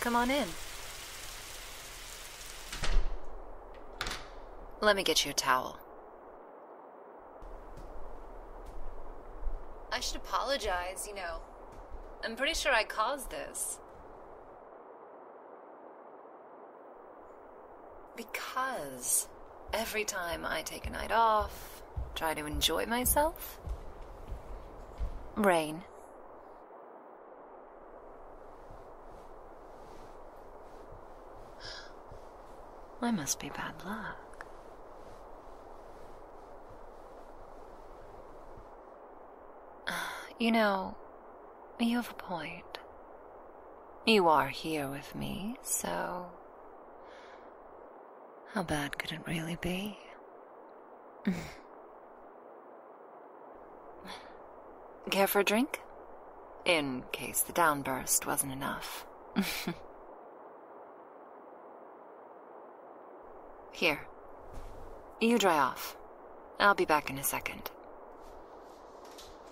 Come on in. Let me get you a towel. I should apologize, you know. I'm pretty sure I caused this. Because every time I take a night off, try to enjoy myself. Rain. I must be bad luck. You know, you have a point. You are here with me, so how bad could it really be? Care for a drink? In case the downburst wasn't enough. Here. You dry off. I'll be back in a second.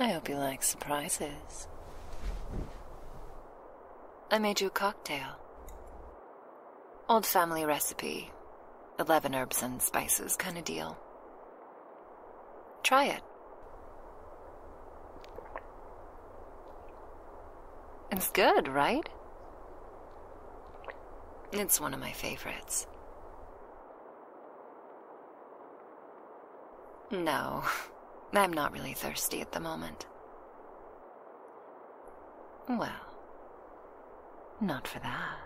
I hope you like surprises. I made you a cocktail. Old family recipe. Eleven herbs and spices kind of deal. Try it. It's good, right? It's one of my favorites. No, I'm not really thirsty at the moment. Well, not for that.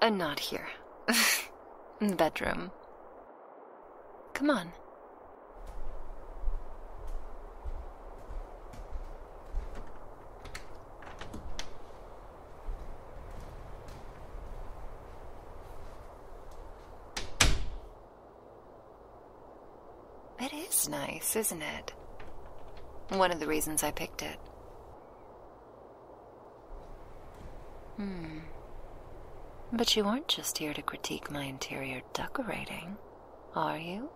And not here. the bedroom. Come on. It is nice, isn't it? One of the reasons I picked it. Hmm. But you aren't just here to critique my interior decorating, are you?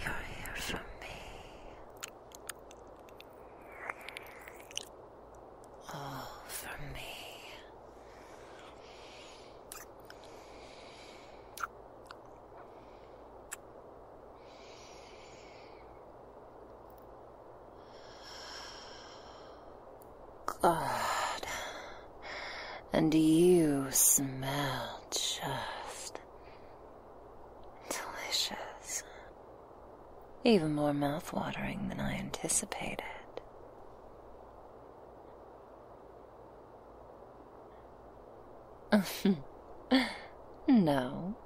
You're here for me all for me. God, and you smell just delicious. Even more mouth-watering than I anticipated no,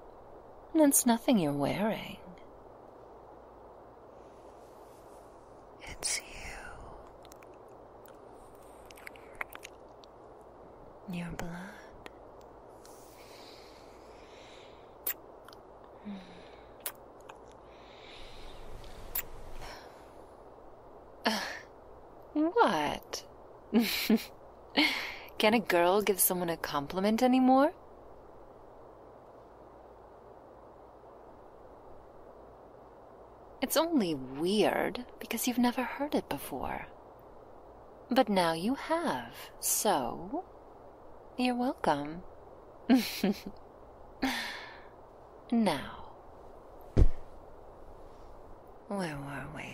it's nothing you're wearing. It's you. Your blood what? Can a girl give someone a compliment anymore? It's only weird because you've never heard it before. But now you have, so you're welcome. now, where were we?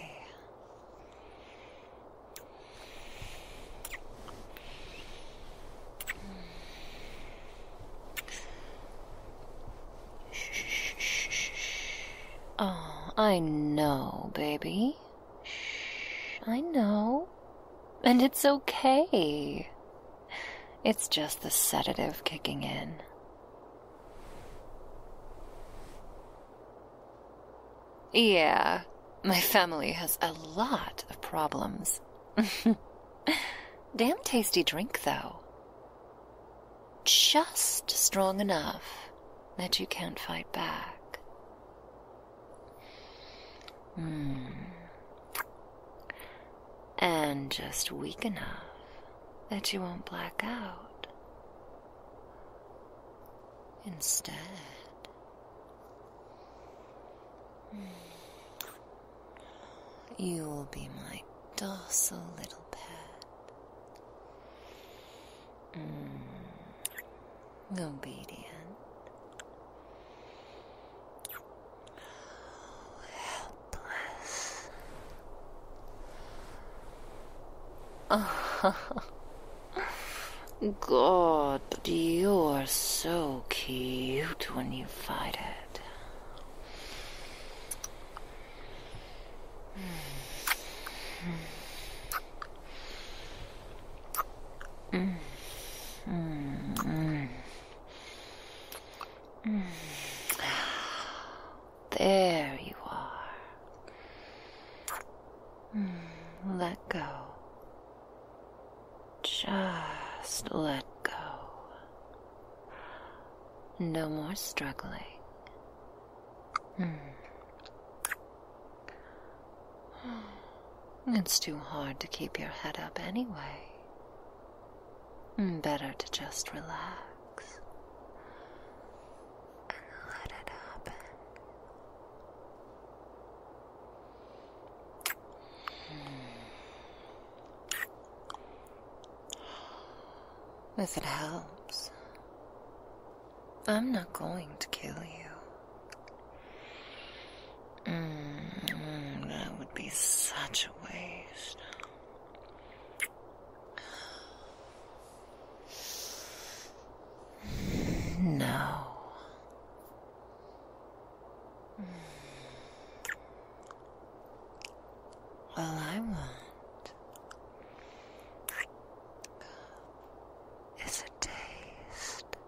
Oh, I know, baby. I know. And it's okay. It's just the sedative kicking in. Yeah, my family has a lot of problems. Damn tasty drink, though. Just strong enough that you can't fight back. Mm and just weak enough that you won't black out. Instead, hmm. you will be my docile little pet. Hmm. obedient Oh, helpless. God, you are so cute when you fight it. Mm. Mm. Mm. There you are. Hmm, let go. Just let go. No more struggling. Hmm. It's too hard to keep your head up anyway. Mm, better to just relax and let it happen. Mm. If it helps, I'm not going to kill you. Mm, that would be such a waste. No. All I want is a taste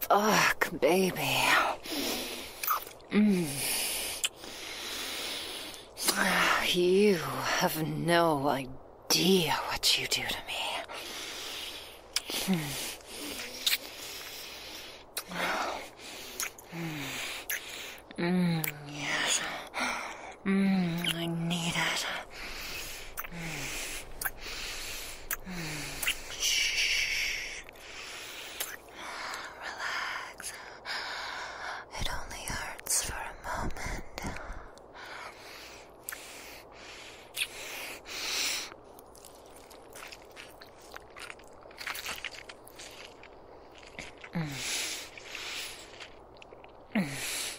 Fuck, baby. Mm. You have no idea what you do to me. Mm. Mm. Yes. Mm, I need it. Mm. Relax. It only hurts for a moment. Mm. Mm.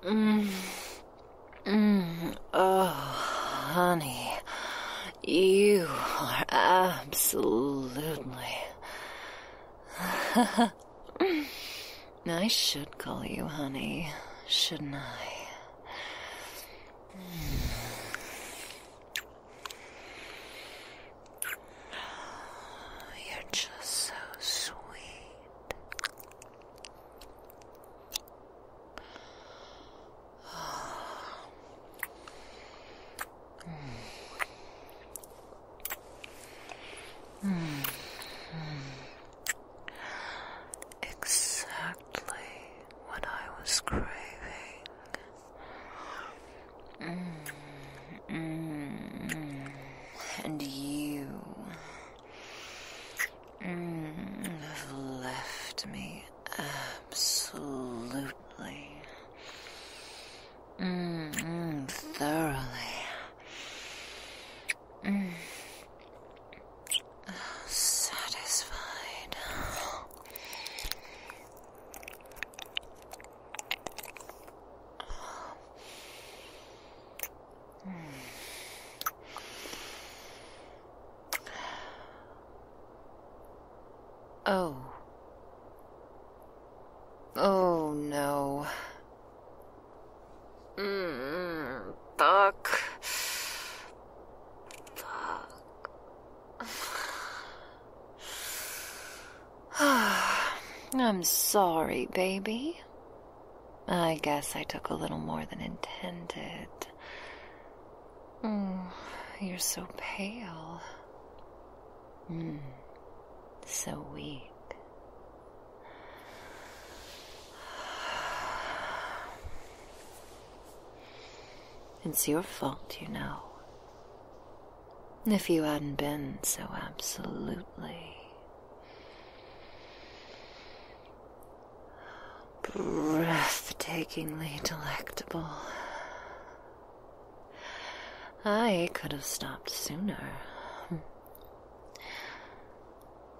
Mm, mm. Mm. Oh, honey, you are absolutely. I should call you honey, shouldn't I? You're just so sweet. Hmm. Hmm. Exactly what I was craving. Hmm. And you have left me absolutely. thoroughly satisfied. Oh. Oh no. Mm, так... I'm sorry, baby. I guess I took a little more than intended. Mm, you're so pale. Mm, so weak. It's your fault, you know. If you hadn't been so absolutely breathtakingly delectable, I could have stopped sooner.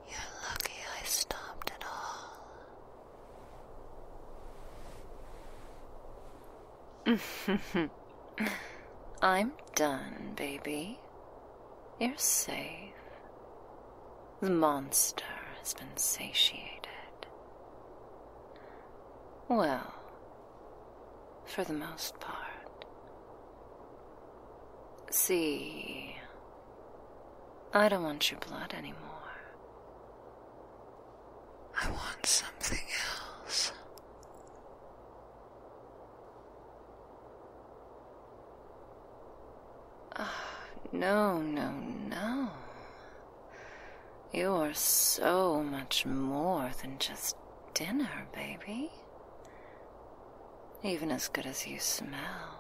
You're lucky I stopped at all. I'm done, baby. You're safe. The monster has been satiated. Well, for the most part. See, I don't want your blood anymore. I want something else. Oh, no, no, no. You are so much more than just dinner, baby. Even as good as you smell.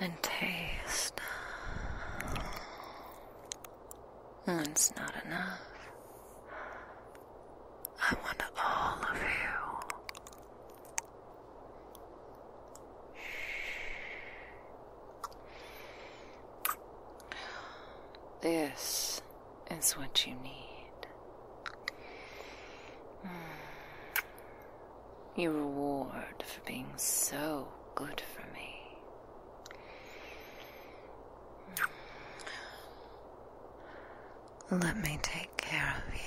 And taste. One's not enough. I want all of you. This is what you need. Hmm. Your reward for being so good for me. Hmm. Let me take care of you.